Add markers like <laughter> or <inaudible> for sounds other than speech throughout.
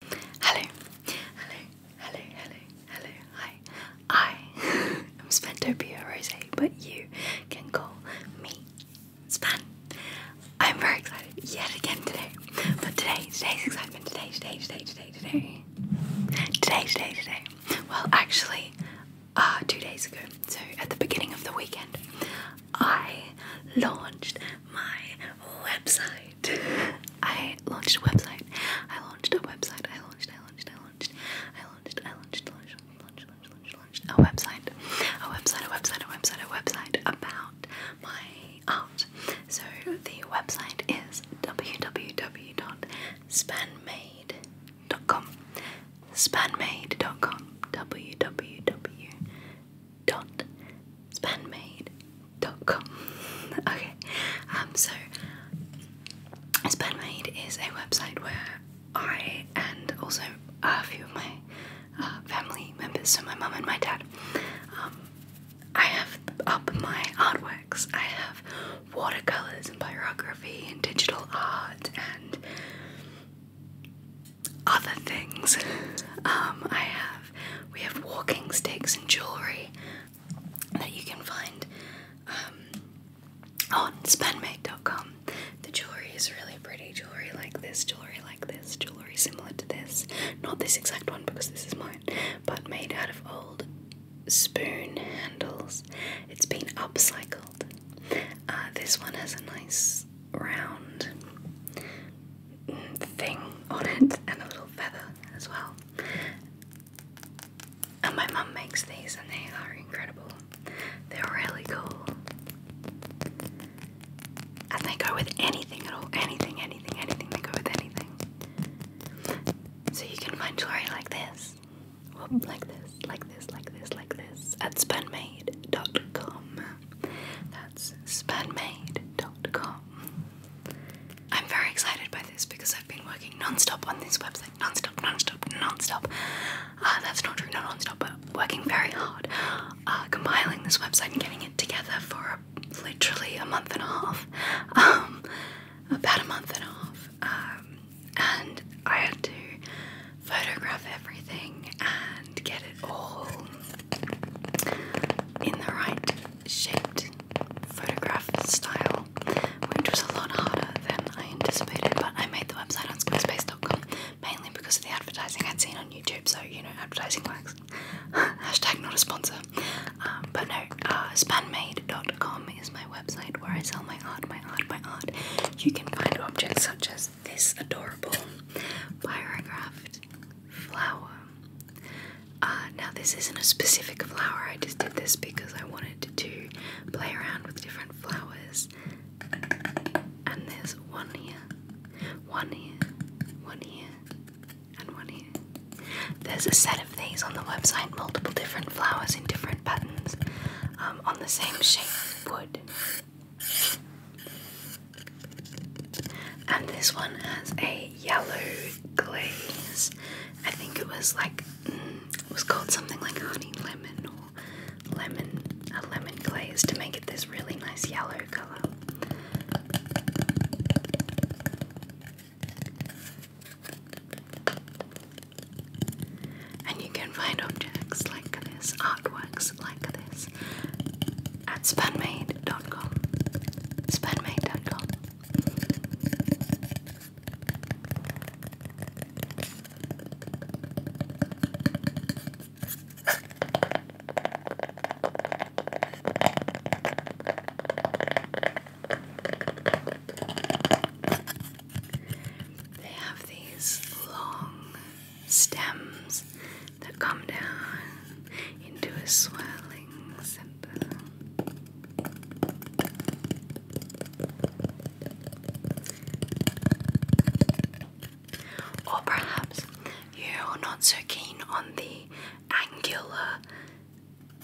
Hello, hello, hello, hello, hello, hi. I <laughs> am Spentopia Rose, but you can call me Span. I'm very excited yet again today. But today, today's excitement, today, today, today, today, today. Today, today, today. Well, actually, uh, two days ago, so at the beginning of the weekend, I launched my website website. I launched a website. I launched a website. I launched, I launched, I launched, I launched, I launched, launched, launched, launched, launched, a website. A website, a website, a website, a website about my art. So the website is www.spanmade.com. Spanmade.com. www dot com. <laughs> okay, um, so Spanmade is a website where I and also a few of my uh, family members, so my mom and my dad, um, I have up my artworks. I have watercolors and pyrography and digital art and other things. <laughs> Um, I have we have walking sticks and jewellery that you can find um, on spanmate.com. The jewellery is really pretty. Jewellery like this, jewellery like this, jewellery similar to this. Not this exact one because this is mine, but made out of old spoon handles. It's been upcycled. Uh, this one has a nice round thing on it <laughs> and a little feather as well. And my mum makes these and they are incredible. They're really cool. And they go with anything at all. Anything, anything, anything. They go with anything. So you can find jewelry like this. like this, like this, like this, like this at spunmade.com. That's spanmade.com. I'm very excited by this because I've been working non-stop on this website. Non-stop, non-stop, non-stop. Uh, that's not true, not non-stop, but working very hard. Uh, compiling this website and getting it together for literally a month and a half. Um, about a month and a half. Um, and I had to photograph everything and to get it all in the right shaped photograph style, which was a lot harder than I anticipated. But I made the website on skillspace.com mainly because of the advertising I'd seen on YouTube, so you know, advertising works. <laughs> Hashtag not a sponsor. Um, but no, uh, spanmade.com is my website where I sell my art, my art, my art. You can find objects such as this adorable pyrographed flower. Uh, now this isn't a specific flower, I just did this because I wanted to play around with different flowers. And there's one here, one here, one here, and one here. There's a set of these on the website, multiple different flowers in different buttons, um, on the same shape wood. And this one has a yellow glaze. I think it was like mm, it was called something like honey lemon or lemon a lemon glaze to make it this really nice yellow color. And you can find objects like this, artworks like this at spanmade.com. Spanmade.com. They have these long stems that come down into a swirling simple. Or perhaps you're not so keen on the angular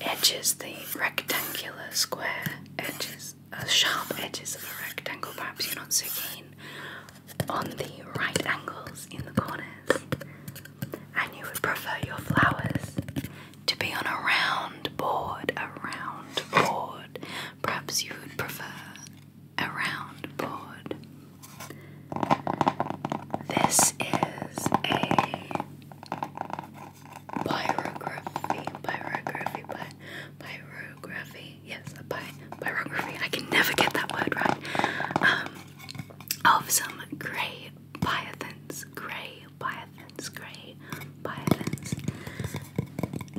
edges, the rectangular square edges, the uh, sharp edges of a rectangle. Perhaps you're not so keen on the right angles in the corners, and you would prefer your flowers to be on a round board, a round board. Perhaps you would prefer a round board. This is a pyrography, pyrography, py pyrography yes, by I can never get that word right. Um, of some grey pythons, grey pythons, grey pythons.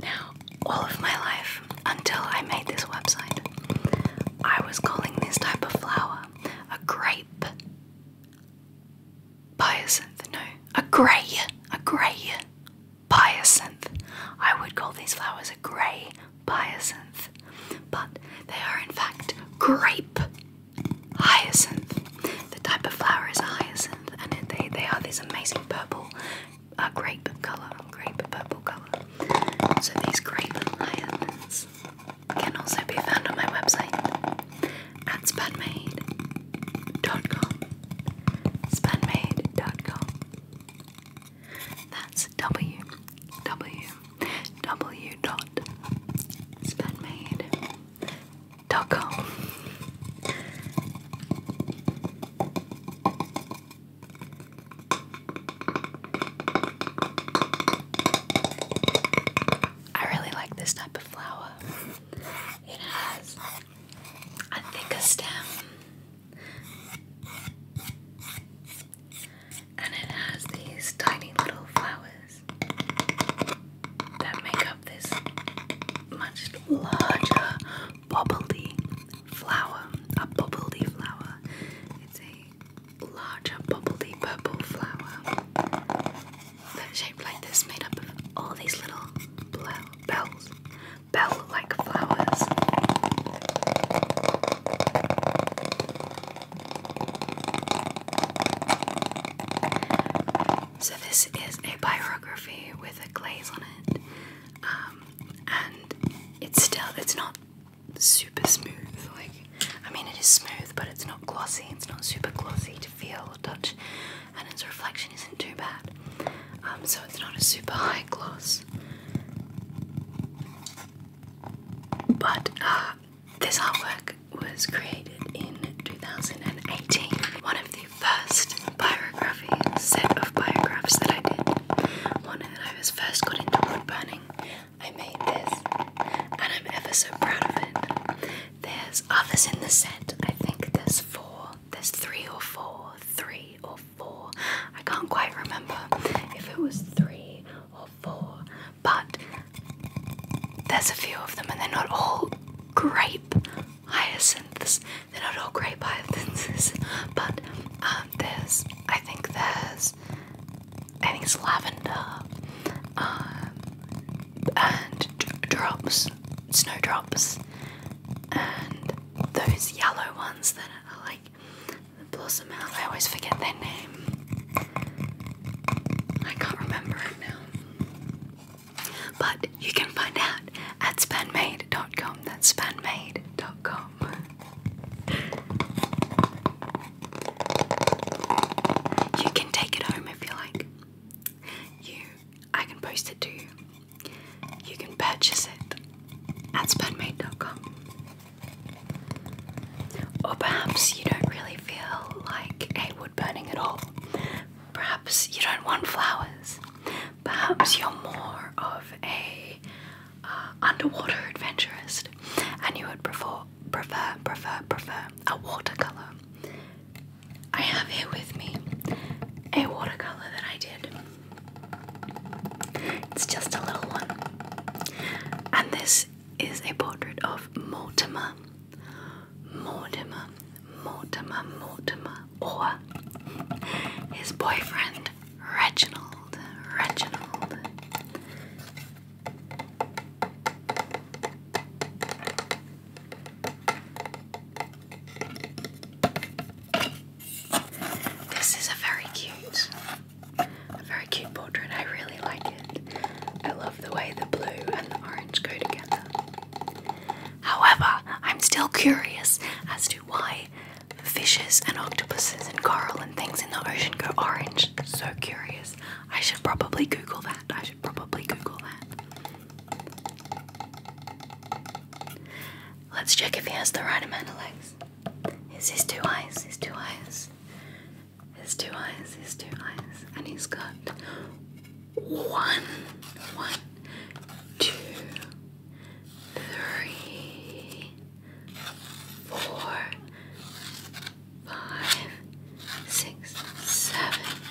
Now, all of my life, until I made this website, I was calling this type of flower a grape biosynth. a grey, a grey Hyacinth. I would call these flowers a grey hyacinth, but they are in fact grape hyacinth. The type of flower is hyacinth, and they, they are this amazing purple uh, grape colour, grape purple colour. So these grape hyacinths can also be found on my website at spanmade.com. Spanmade.com. That's W W W dot spanmade.com. I really like this type of flower. It has, I think, a stem and it has these tiny little flowers that make up this much larger bubbly flower. A bubbly flower. It's a larger bubbly purple flower that's shaped like this, made up of all these little bells bell like flowers. So, this is a biography with a glaze on it, um, and it's still, it's not super smooth. Like, I mean, it is smooth, but it's not glossy, it's not super glossy to feel or touch, and its reflection isn't too bad. Um, so, it's not a super high gloss. But uh, this artwork was created in 2018. One of the first biography set of biographs that I did. One that I was first got into wood burning. I made this, and I'm ever so proud of it. There's others in the set. I think there's four. There's three or four, three or four. I can't quite remember if it was three or four, but there's a few of them, and they're not all grape hyacinths. They're not all grape hyacinths, <laughs> but um, there's, I think there's, I think it's lavender um, and drops, snowdrops, and those yellow ones that are like blossom out. I always forget their name. I can't remember it now. But you can find out at spanmade.com. That's spanmade.com. You can take it home if you like. You I can post it to you. You can purchase it at Spudmate.com. Or perhaps you don't really feel like a wood burning at all. Perhaps you don't want flowers. Perhaps you're more of a uh, underwater adventurist, and you would prefer, prefer, prefer, prefer a watercolor. I have here with me a watercolor that I did it's just a little one. And this is a portrait of Mortimer. Mortimer, Mortimer, Mortimer, or his boyfriend, Reginald, Reginald. This is a very cute, very cute portrait. I really like it. I love the way the blue and the orange go together. However, I'm still curious as to why fishes and octopuses and coral and things in the ocean go orange. So curious. I should probably Google that. I should probably Google that. Let's check if he has the right amount of legs. He's his two eyes, his two eyes. His two eyes, his two eyes. And he's got one, one, two, three, four, five, six, seven,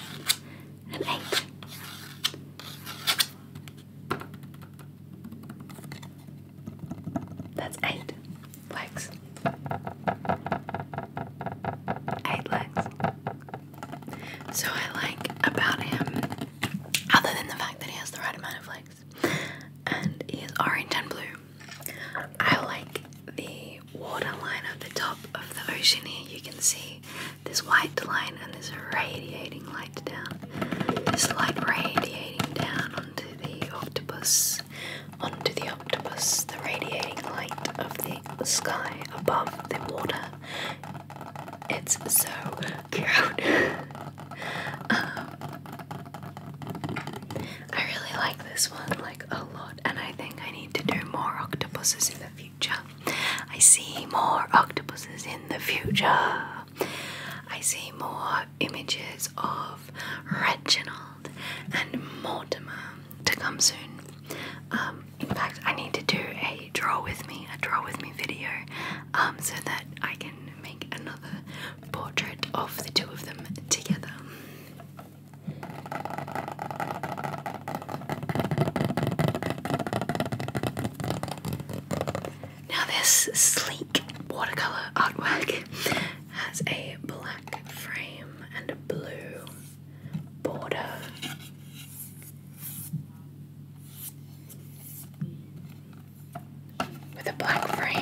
and eight. That's eight legs. Eight legs. So I like about him, other than the fact that he has the right amount of legs and he is orange and blue, I like the waterline of the top of the ocean here. You can see this white line and this radiating light down. This light radiating down onto the octopus, onto the octopus, the radiating light of the sky above the water. It's so cute. <laughs> Um, I really like this one like a lot, and I think I need to do more octopuses in the future. I see more octopuses in the future. I see more images of Reginald and Mortimer to come soon. Um, in fact, I need to do a draw with me, a draw with me video, um, so that I can make another portrait of the two of them together. Now, this sleek watercolour artwork has a black frame and a blue border. With a black frame.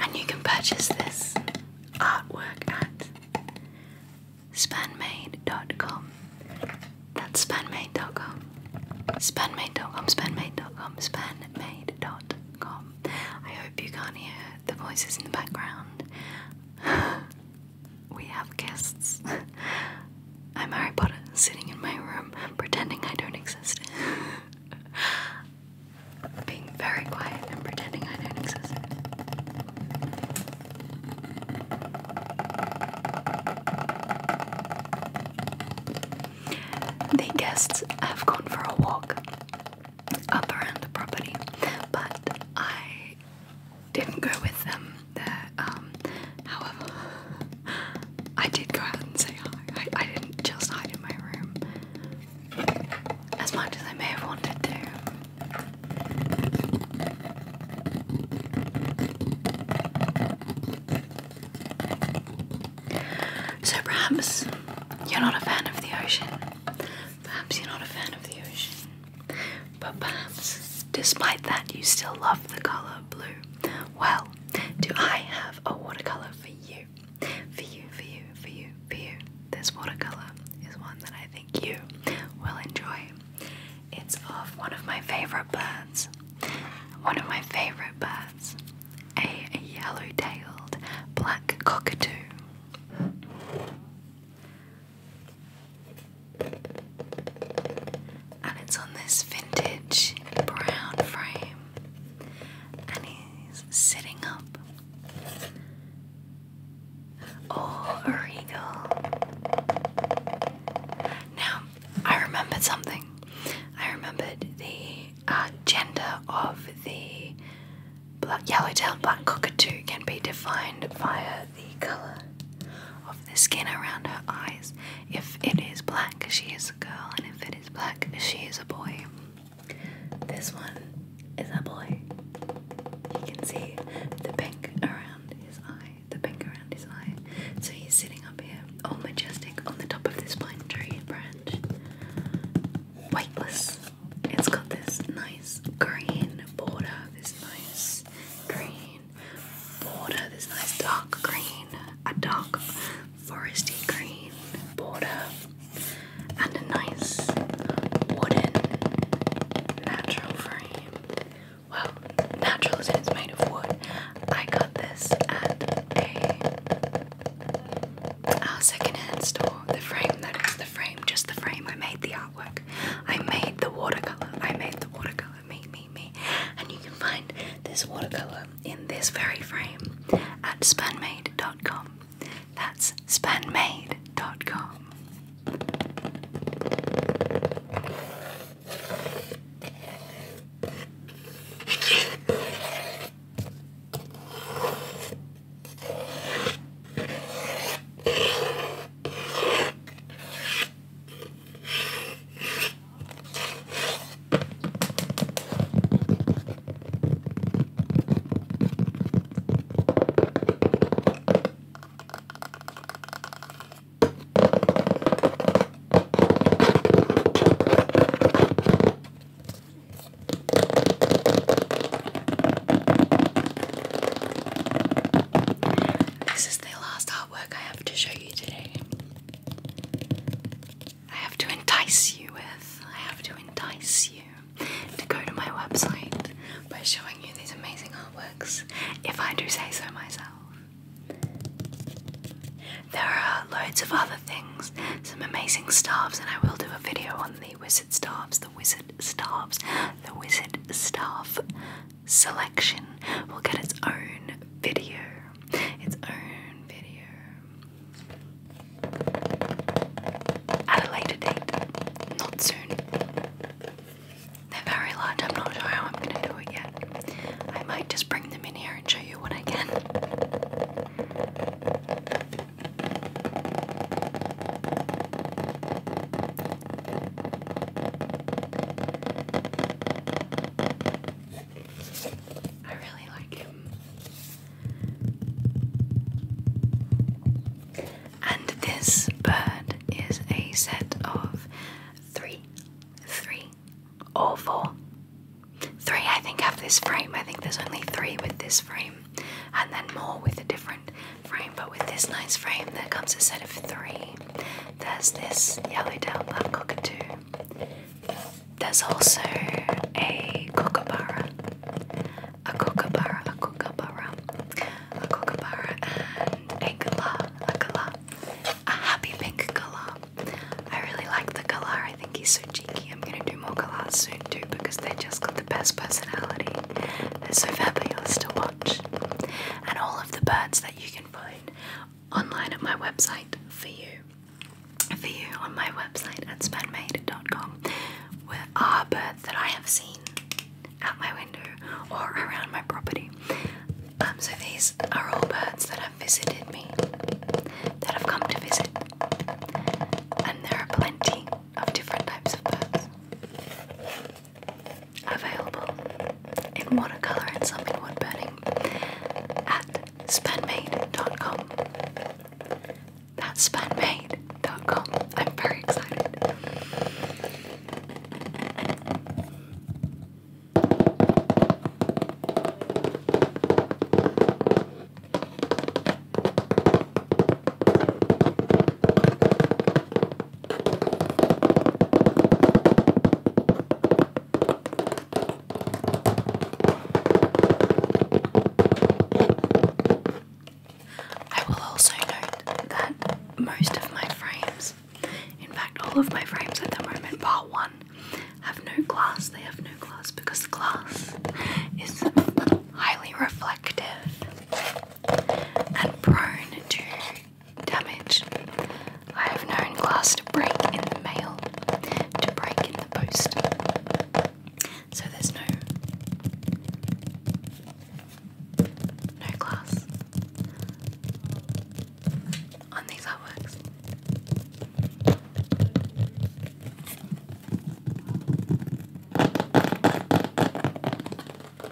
And you can purchase this artwork at spanmade.com. That's spanmade.com. Spanmade.com, spanmade.com, spanmade.com. I hope you can't hear the voices in the background. <laughs> we have guests. <laughs> I'm Harry Potter sitting in my room pretending I don't exist. <laughs> Being very quiet and pretending I don't exist. The guests have gone for a walk up around the property, but I didn't go with them um, however, I did go out and say hi. I, didn't just hide in my room. As much as I may have wanted to. So perhaps you're not a fan of the ocean. Perhaps you're not a fan of the ocean. But perhaps, despite that, you still love the colour blue. Well, do I have a watercolor for you? For you, for you, for you, for you. This watercolor is one that I think you will enjoy. It's of one of my favorite birds. One of my favorite birds. A yellow tailed black cockatoo and it's on this vintage brown frame, and he's sitting up. Oh, regal. Now, I remembered something. I remembered the uh, gender of the black, yellow-tailed black cockatoo can be defined via the color of the skin around her eyes. If it is black, she is a girl, and if it is black, she is a boy. This one is a boy. You can see the pink around his eye, the pink around his eye. So he's sitting up here, all majestic, on the top of this pine tree branch. Weightless. It's got this nice green border, this nice green green border, this nice dark green, a dark foresty green border, and a nice wooden natural frame. Well, natural as made of wood. I got this at a secondhand store. The frame that is the frame, just the frame. I made the artwork. I made the watercolor. I made the watercolor me, me, me. And you can find this watercolor in this very frame at spanmade.com. That's spanmade.com. This is the last artwork I have to show you today. I have to entice you with, I have to entice you to go to my website by showing you these amazing artworks, if I do say so myself. There are loads of other things, some amazing staffs, and I will do a video on the wizard staffs, the wizard staffs, the wizard staff selection will get its own video. Its own video. At a later date. Not soon. They're very large. I'm not sure how I'm going to do it yet. I might just bring them in here and show you what I can. I really like him. And this bird is a set of three, three, or four. Three, I think, have this frame. I think there's only three with this frame, and then more with a different frame. But with this nice frame, there comes a set of three. There's this yellow-tailed black cockatoo. There's also a kookaburra, a kookaburra, a kookaburra, a kookaburra, and a galah, a galah, a happy pink galah. I really like the galah. I think he's so cheeky. I'm gonna do more galahs soon too because they just got the best personality. They're so fabulous to watch, and all of the birds that you find online at my website for you. For you on my website at spanmade.com where are birds that I have seen out my window or around my property. Um, so these are all birds that have visited me, that have come to visit, and there are plenty of different types of birds. Available in watercolour and some in wood burning at spanmade.com. That's spanmade.com. I'm very excited. I will also note that most of my frames, in fact, all of my frames at the moment, bar one, have no glass. They have no glass because the glass is highly reflective and prone to damage. I have known glass to break in the mail, to break in the post. So there's no no glass on these artworks.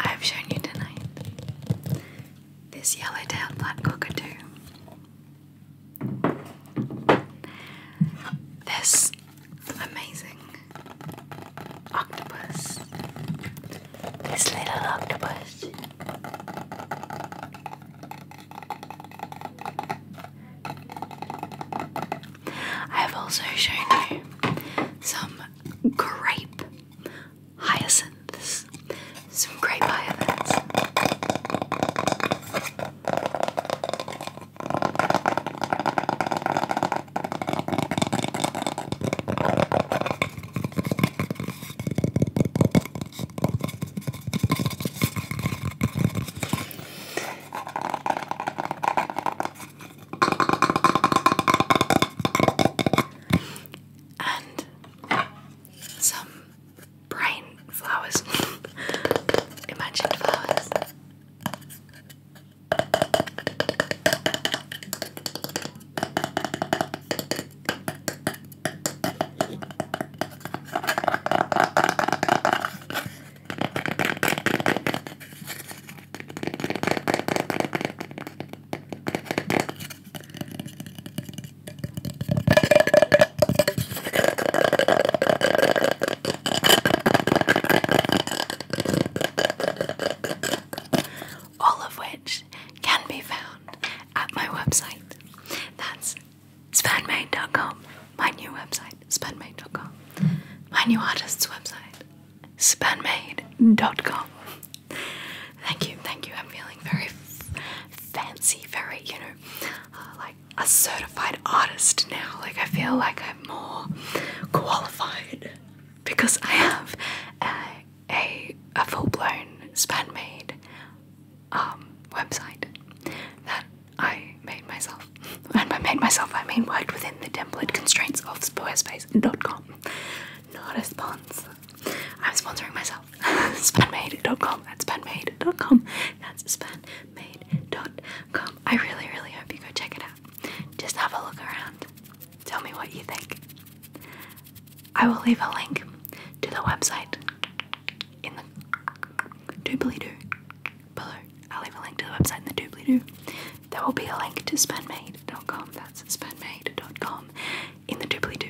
I've shown you tonight this yellow-tailed black cockatoo. This amazing octopus. This little octopus. I have also shown you some grape hyacinths. Some grape hyacinths and some bright flowers. <laughs> Imagine flowers. All of which can be found at my website. That's spanmade.com, my new website, spanmade.com, my new artist's website, spanmade.com. Thank you, thank you. I'm feeling very fancy, very, you know, uh, like a certified artist now. Like, I feel like I'm more qualified because I have a, a, full blown spanmade um, website that I made myself. <laughs> And by made myself, I mean worked within the template constraints of squarespace.com. Not a sponsor. I'm sponsoring myself. <laughs> spanmade.com. That's spanmade.com. That's spanmade.com. I really, really hope you go check it out. Just have a look around. Tell me what you think. I will leave a link to the website in the doobly doo below. I'll leave a link to the website in the doobly doo. There will be a link to spenmade.com. That's spenmade.com in the doobly doo.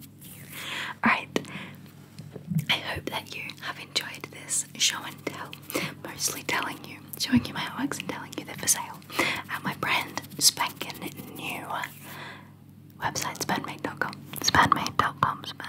<laughs> Alright, I hope that you have enjoyed this show and tell. Mostly telling you, showing you my artworks and telling you they're for sale at my brand spanking new website, spanmade.com. Spanmade.com, spanmade.com